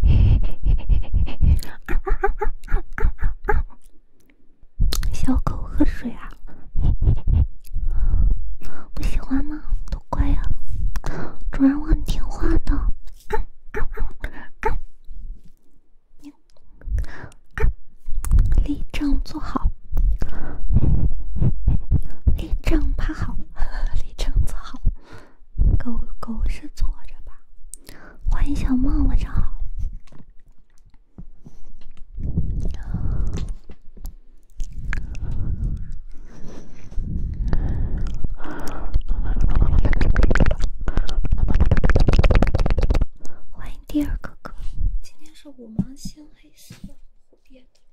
嘿嘿嘿小狗喝水啊，不喜欢吗？多乖呀，主人我很听话的。立正，坐好。立正，趴好；立 正，坐好。狗狗是坐着吧？欢迎小梦，晚上好。欢迎第二哥哥。今天是五芒星黑色蝴蝶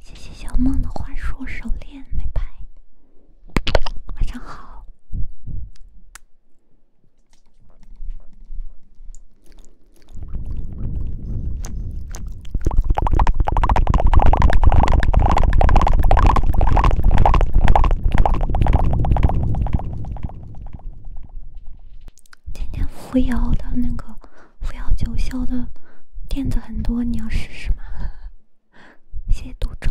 谢谢小梦的花束手链，拜拜。晚上好。今天扶摇的那个扶摇九霄的垫子很多，你要试试吗？谢谢毒咒。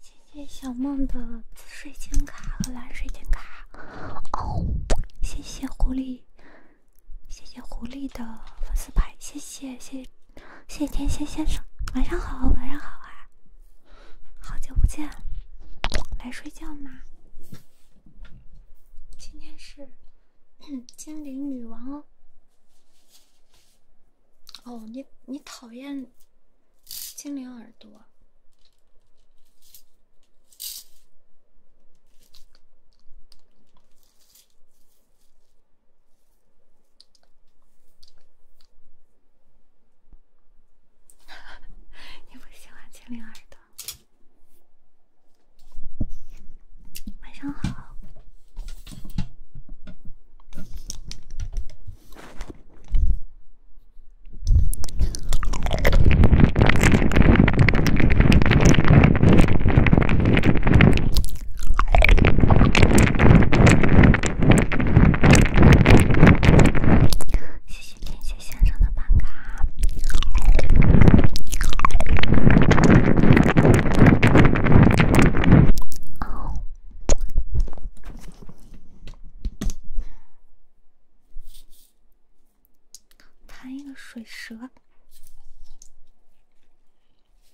谢谢小梦的紫水晶卡和蓝水晶卡。哦，谢谢狐狸，谢谢狐狸的粉丝牌。谢谢谢，谢。谢天仙先生，晚上好，晚上好啊，好久不见，来睡觉吗？今天是 精灵女王哦，哦，你你讨厌精灵耳朵？你不喜欢精灵耳朵？晚上好。谢谢天蝎先生的办卡。弹一个水蛇。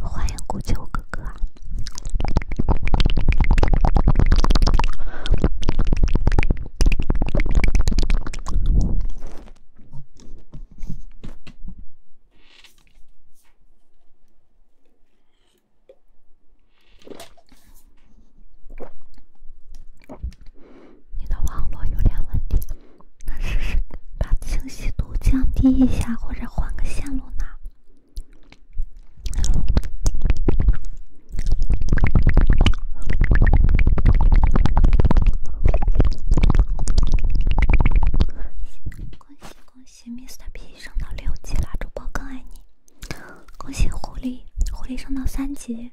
欢迎古旧哥哥。你的网络有点问题，那试试把清晰度降低一下，或者换个线路呢？恭喜恭喜，Mr P 升到六级啦！主播更爱你！恭喜狐狸，狐狸升到三级。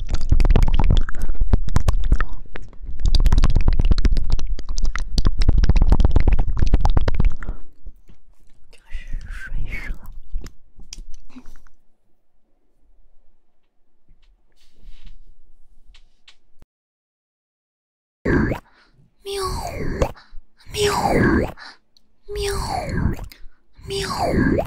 这是水蛇。喵！喵！喵！喵！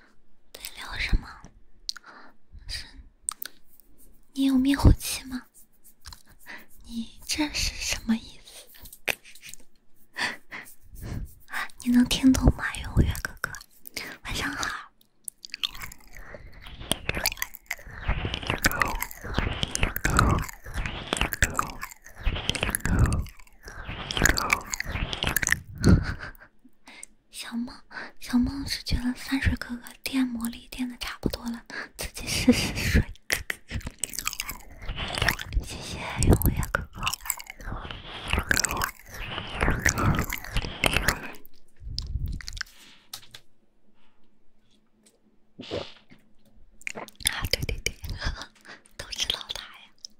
在聊什么？是，你有灭火器吗？你这是什么意思？你能听懂吗？永月哥哥，晚上好。小梦，小梦是觉得三水哥哥电魔力电的差不多了，自己试试水。谢谢永远哥哥。啊，对对对，都是老大呀。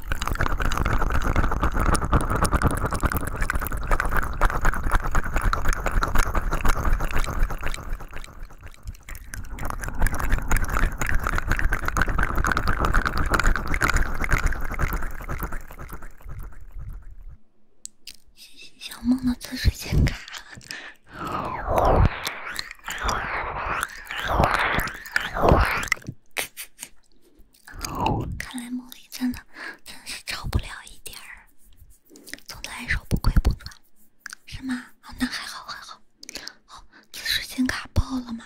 谢谢小梦的厕所钱卡。看来梦里真的真是超不了一点儿。总的来说，不亏不赚，是吗？哦，那还好还好。好，你时间卡爆了吗？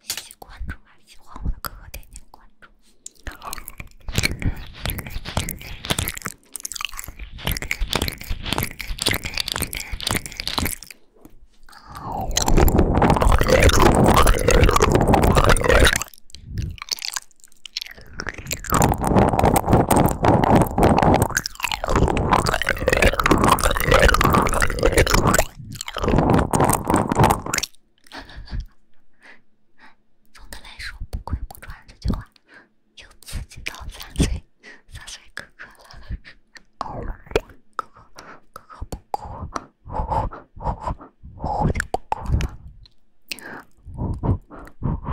谢谢关注啊！喜欢我的哥哥点点关注。总的来说，不哭不喘这句话，又刺激到三岁，三岁哥哥了。哥哥，哥哥不哭，呼呼呼呼呼呼哭哭了，呼呼呼呼呼呼。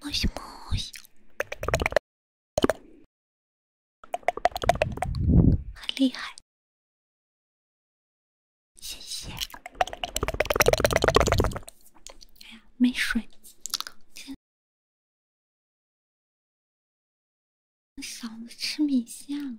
摸西摸西，很厉害，谢谢。哎呀，没水，嗓子吃米线了。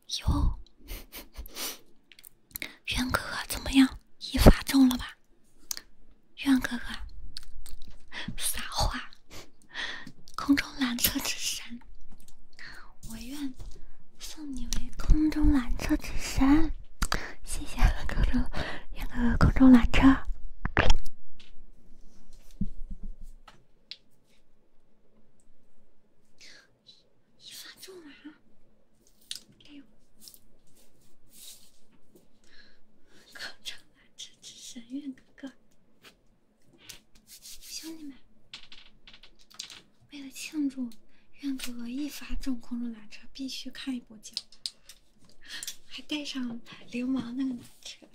哟，渊哥哥怎么样？一发中了吧？渊哥哥，撒花！空中缆车之神，我愿送你为空中缆车之神。谢谢，哥哥，渊哥，空中缆车。一发中了啊！六空中缆车之神韵哥哥，兄弟们，为了庆祝愿哥哥一发中空中缆车，必须看一波奖，还带上流氓那个缆车。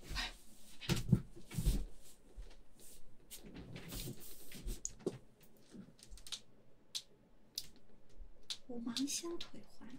五芒星腿环。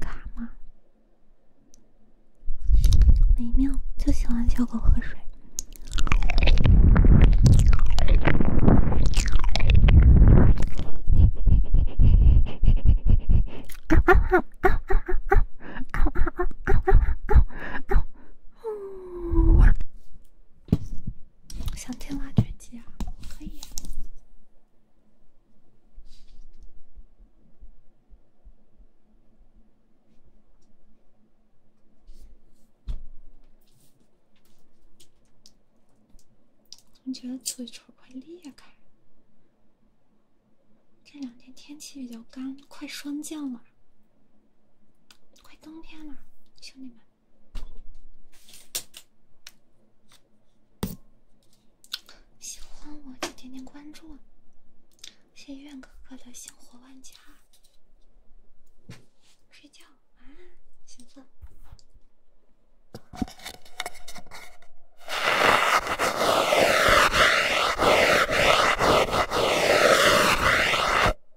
卡吗？美妙就喜欢小狗喝水。呜哇！想听挖掘机啊，可以。总觉得嘴唇快裂开，这两天天气比较干，快霜降了。快冬天了，兄弟们，喜欢我就点点关注，谢愿哥哥的星火万家，睡觉，晚安，请坐。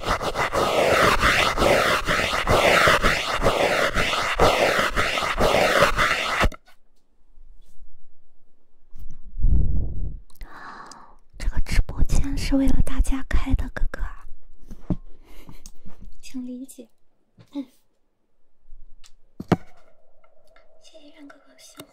啊，这个直播间是为了大家开的，哥哥，请理解。嗯，谢谢任哥哥的辛火。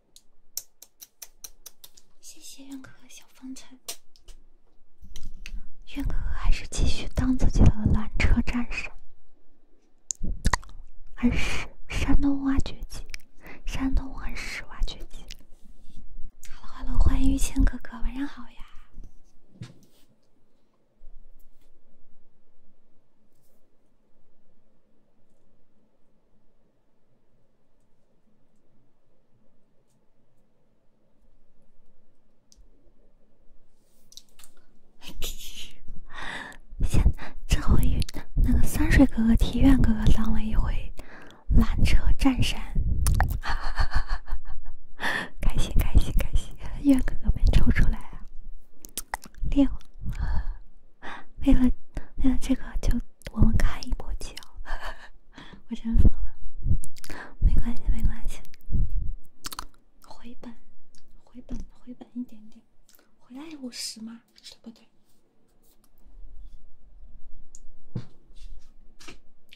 谢谢苑哥哥小风尘。苑哥哥还是继续当自己的缆车战士，而是山东挖掘机，山东二是挖掘机。Hello，Hello，欢迎玉谦哥哥，晚上好呀。先，这回那个三水哥哥替愿哥哥当了一回拦车战神，哈哥哥没抽出来啊，练 为了为了这个就。我们开一波奖，我真服了。没关系，没关系，回本，回本，回本一点点，回来五十嘛，对不对？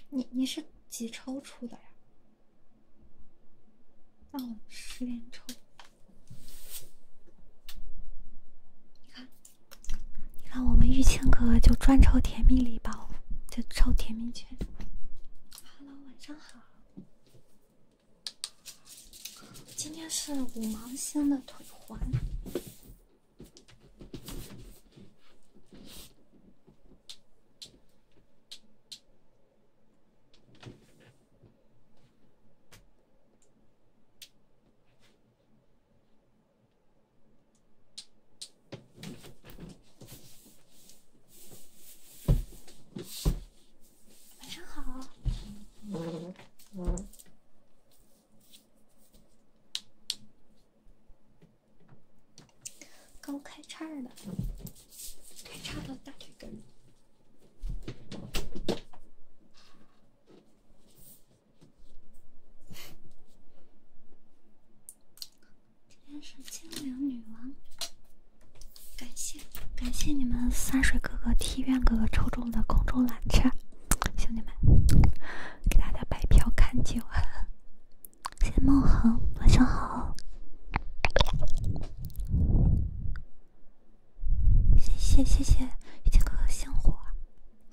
你你是几抽出的呀？哦，我十连抽，你看。你看，我们玉清哥就专抽甜蜜礼包，就抽甜蜜券。Hello，晚上好。今天是五芒星的腿环。晚上好。刚开叉了，开叉到大腿根。今天是精灵女王，感谢感谢你们三水哥哥、梯院哥哥抽中的空中缆车，兄弟们给大家白嫖看酒。谢梦恒，晚上好。谢谢谢谢雨晴哥哥星火。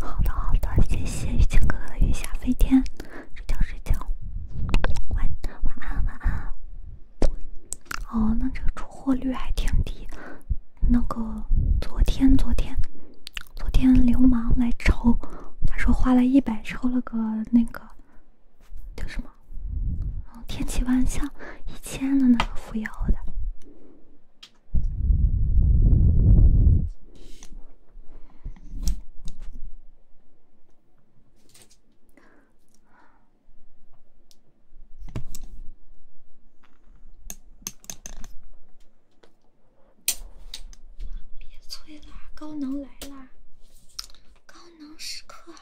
好的好的，谢谢玉谦哥哥的月下飞天，睡觉睡觉，晚安晚安。哦，那这个出货率还挺低，那个昨天昨天。昨天流氓来抽，他说花了一百抽了个那个叫什么？嗯，天启万象一千的那个扶摇的。别催啦，高能来啦！高能时刻。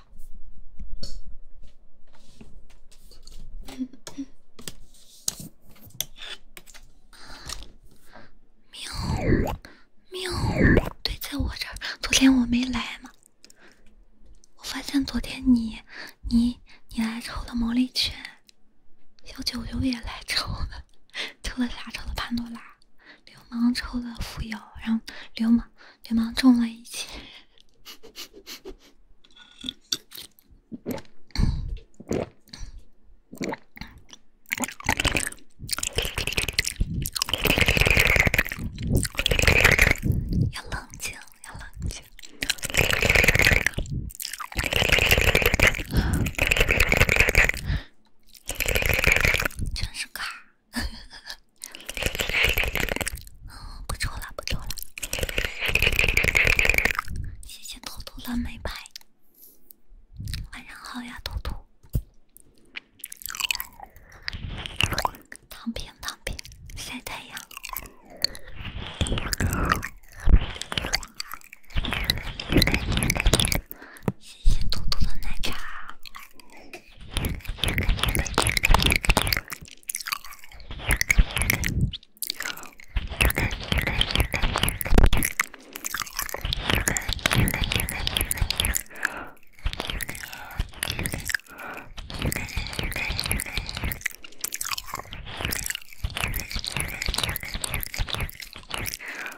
喵喵，对，在我这儿，昨天我没来嘛，我发现昨天你，你，你来抽了毛利犬。小九九也来抽了，抽了啥？抽了潘多拉，流氓抽了扶摇，然后流氓流氓中了一千。要冷静，要冷静。全是卡，嗯，不抽了，不抽了。谢谢兔兔的美白。晚上好呀，兔兔。躺平，躺平，晒太阳。谢谢兔兔的奶茶。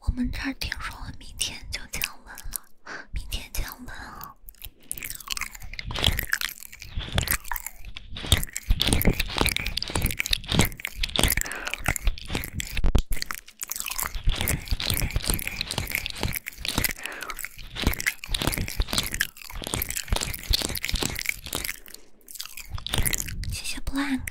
我们这儿听说明天就降温了，明天降温啊！谢谢 Blank。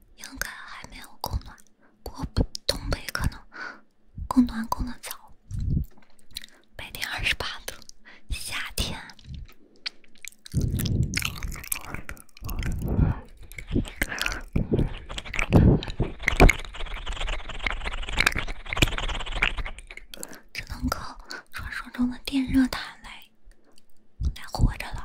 应该还没有供暖，不过东北可能供暖供的早。白天二十八度，夏天只能靠传说中的电热毯来。还活着了。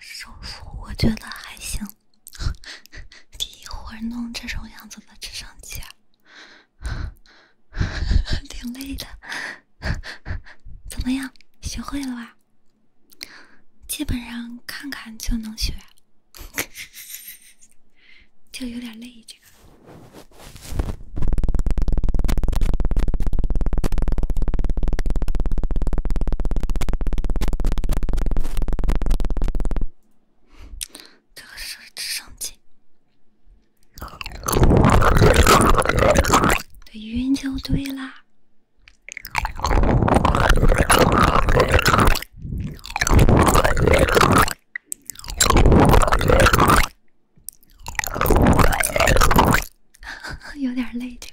手腹，我觉得还行。一会儿弄这种样子的直升机，挺累的。怎么样，学会了吧？基本上看看就能学。就 有点累，这个。这个是直升机。对晕就对啦。有点累这个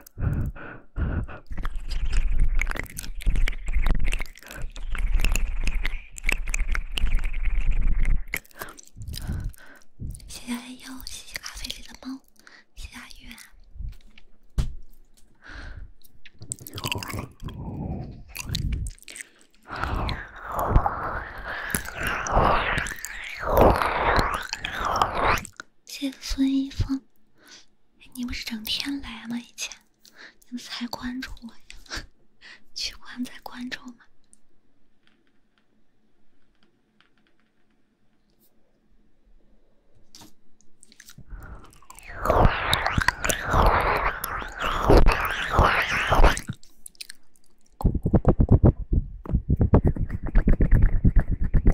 谢谢哎呦，谢谢咖啡里的猫，谢谢阿月，谢谢孙一峰。你不是整天来吗？以前，你们才关注我呀，取关再关注吗？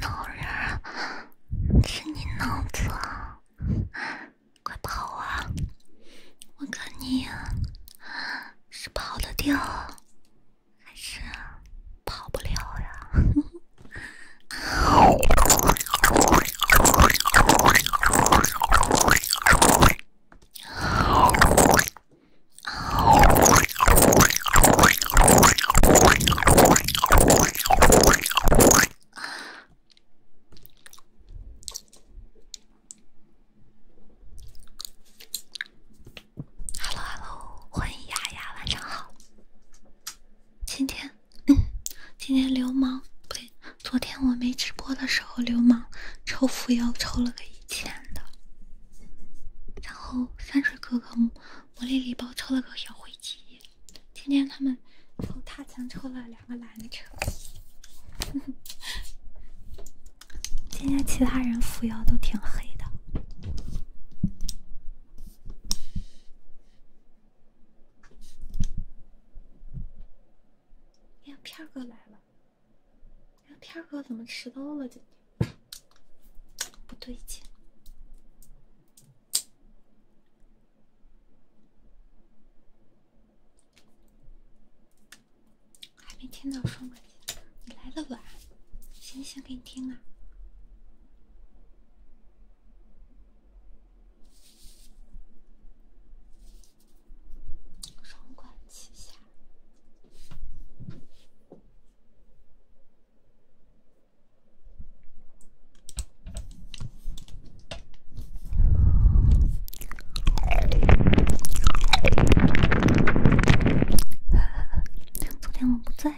脑仁，是你脑子啊！快跑啊！我看你是跑得掉，还是跑不了呀？Hello Hello，欢迎呀呀，晚上好。今天，今天流氓不对，昨天我没直播的时候，流氓抽福妖抽了个一千的，然后三水哥哥。魔力礼包抽了个小灰机，今天他们从他强抽了两个蓝的车。今天其他人扶摇都挺黑的。呀，片儿哥来了！呀，片儿哥怎么迟到了？天？不对劲，还没听到双管齐下，你来的晚，先先给你听啊，双管齐下。昨天我不在，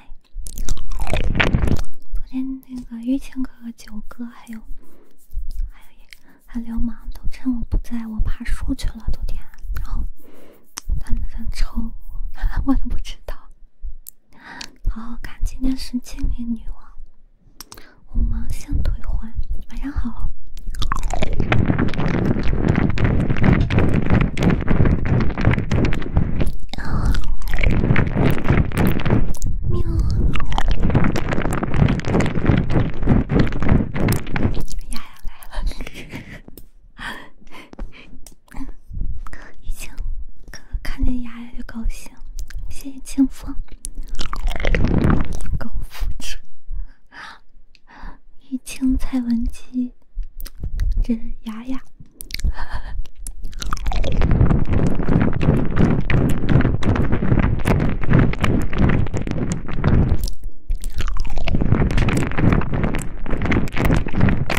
昨天那个玉清哥哥、九哥还有还有还流氓都趁我不在，我爬树去了。昨天，然后。他们在抽我，我都不知道。好好看，今天是精灵女王，我们先退换。晚上好。喵。丫丫来了。嗯，玉清哥哥看见丫丫就高兴，谢谢清风，高富帅啊，玉清蔡文姬，这是丫丫。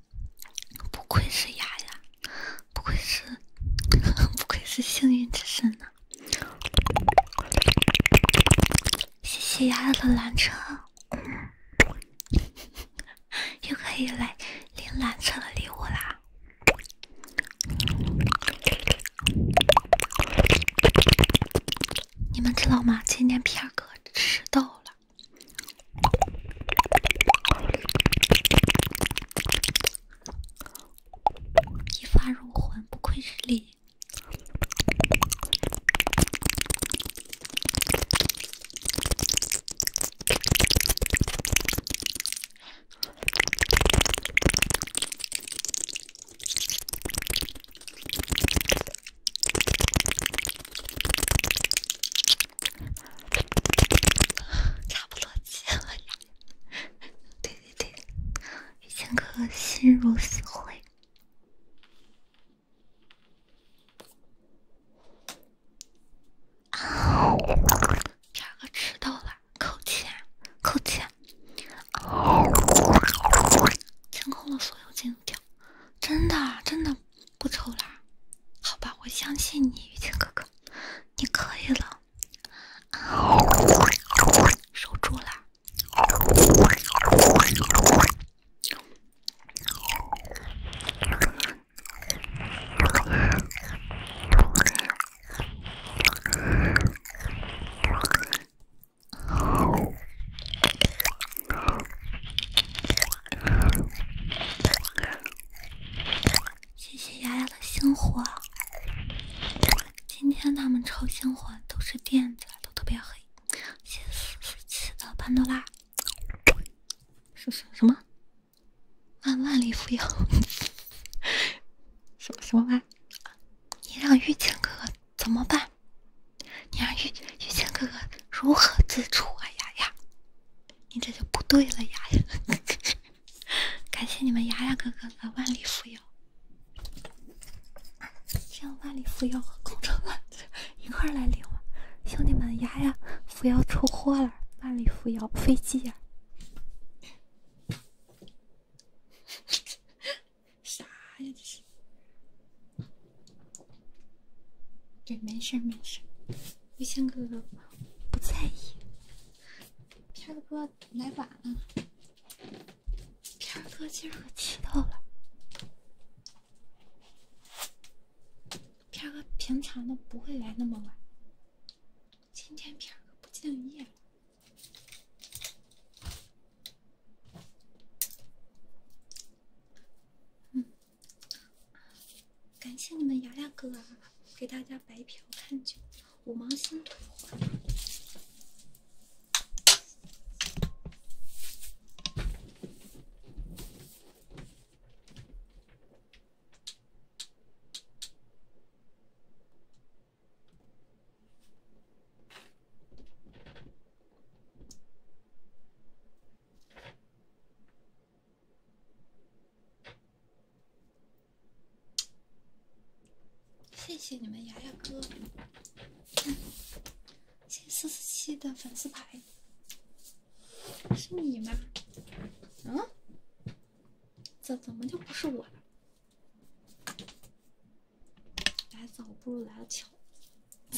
不愧是丫丫，不愧是 不愧是幸运之神呢。谢谢丫丫的蓝车，又可以来领蓝车的礼物啦！你们知道吗？今天片儿哥迟到了。一发入魂，不愧是力。差不多结了呀！对对对，一千颗心如死灰。啊！第二个迟到了，扣钱，扣钱！清空了所有金条，真的，真的。不抽啦。好吧，我相信你，雨晴哥哥，你可以了，守住了。谢谢丫丫的星火。今天他们超星火都是垫子，都特别黑。谢谢四四七的潘多拉。什什什么？万万里扶摇？什么什么万？你让玉清哥哥怎么办？你让玉玉见哥哥如何自处啊，丫丫？你这就不对了牙。感谢你们牙牙哥哥的万里扶摇，让万里扶摇和空城来一块儿来领我。兄弟们，牙牙扶摇出货了，万里扶摇飞机呀！啥呀这是？对，没事没事微相哥哥不在意，片儿哥来晚了。片儿哥今儿可迟到了，片儿哥平常都不会来那么晚，今天片儿哥不敬业。嗯。感谢你们，雅牙哥啊，给大家白嫖看酒，五芒星图。谢谢你们，牙牙哥，谢谢四四七的粉丝牌，是你吗？嗯？这怎么就不是我了？来早不如来的巧，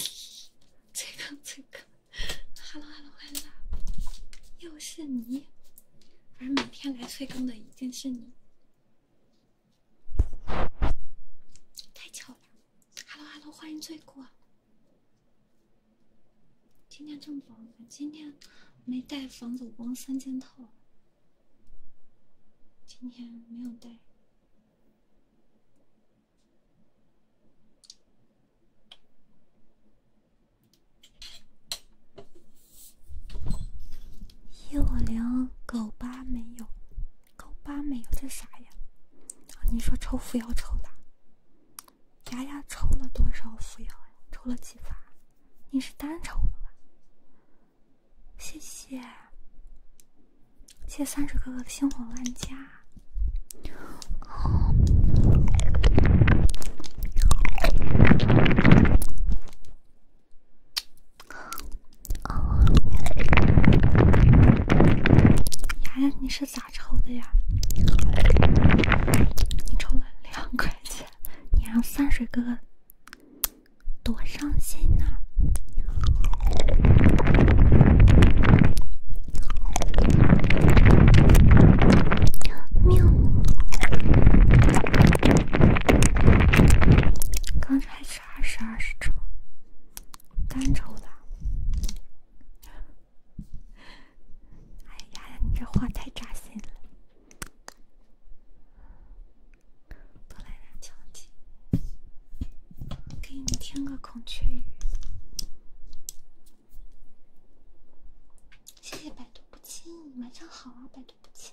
这个这个。Hello，Hello，Hello，又是你，而每天来催更的一定是你，太巧了。Hello，Hello，欢迎醉过。今天这么早，今天没带防走光三件套，今天没有带。幼灵狗八没有，狗八没有这啥呀？你说抽扶摇抽的？牙牙抽了多少扶摇呀？抽了几发？你是单抽的吧？谢谢，谢三十哥哥的星火万家。牙牙，你是咋抽的呀？你抽了两块钱，你让三水哥哥多伤心呐！喵！刚才是二十二抽，单抽的。哎呀，呀，你这话太扎心了！多来两枪鸡，给你听个孔雀鱼。谢谢百毒不侵，晚上好啊，百毒不侵。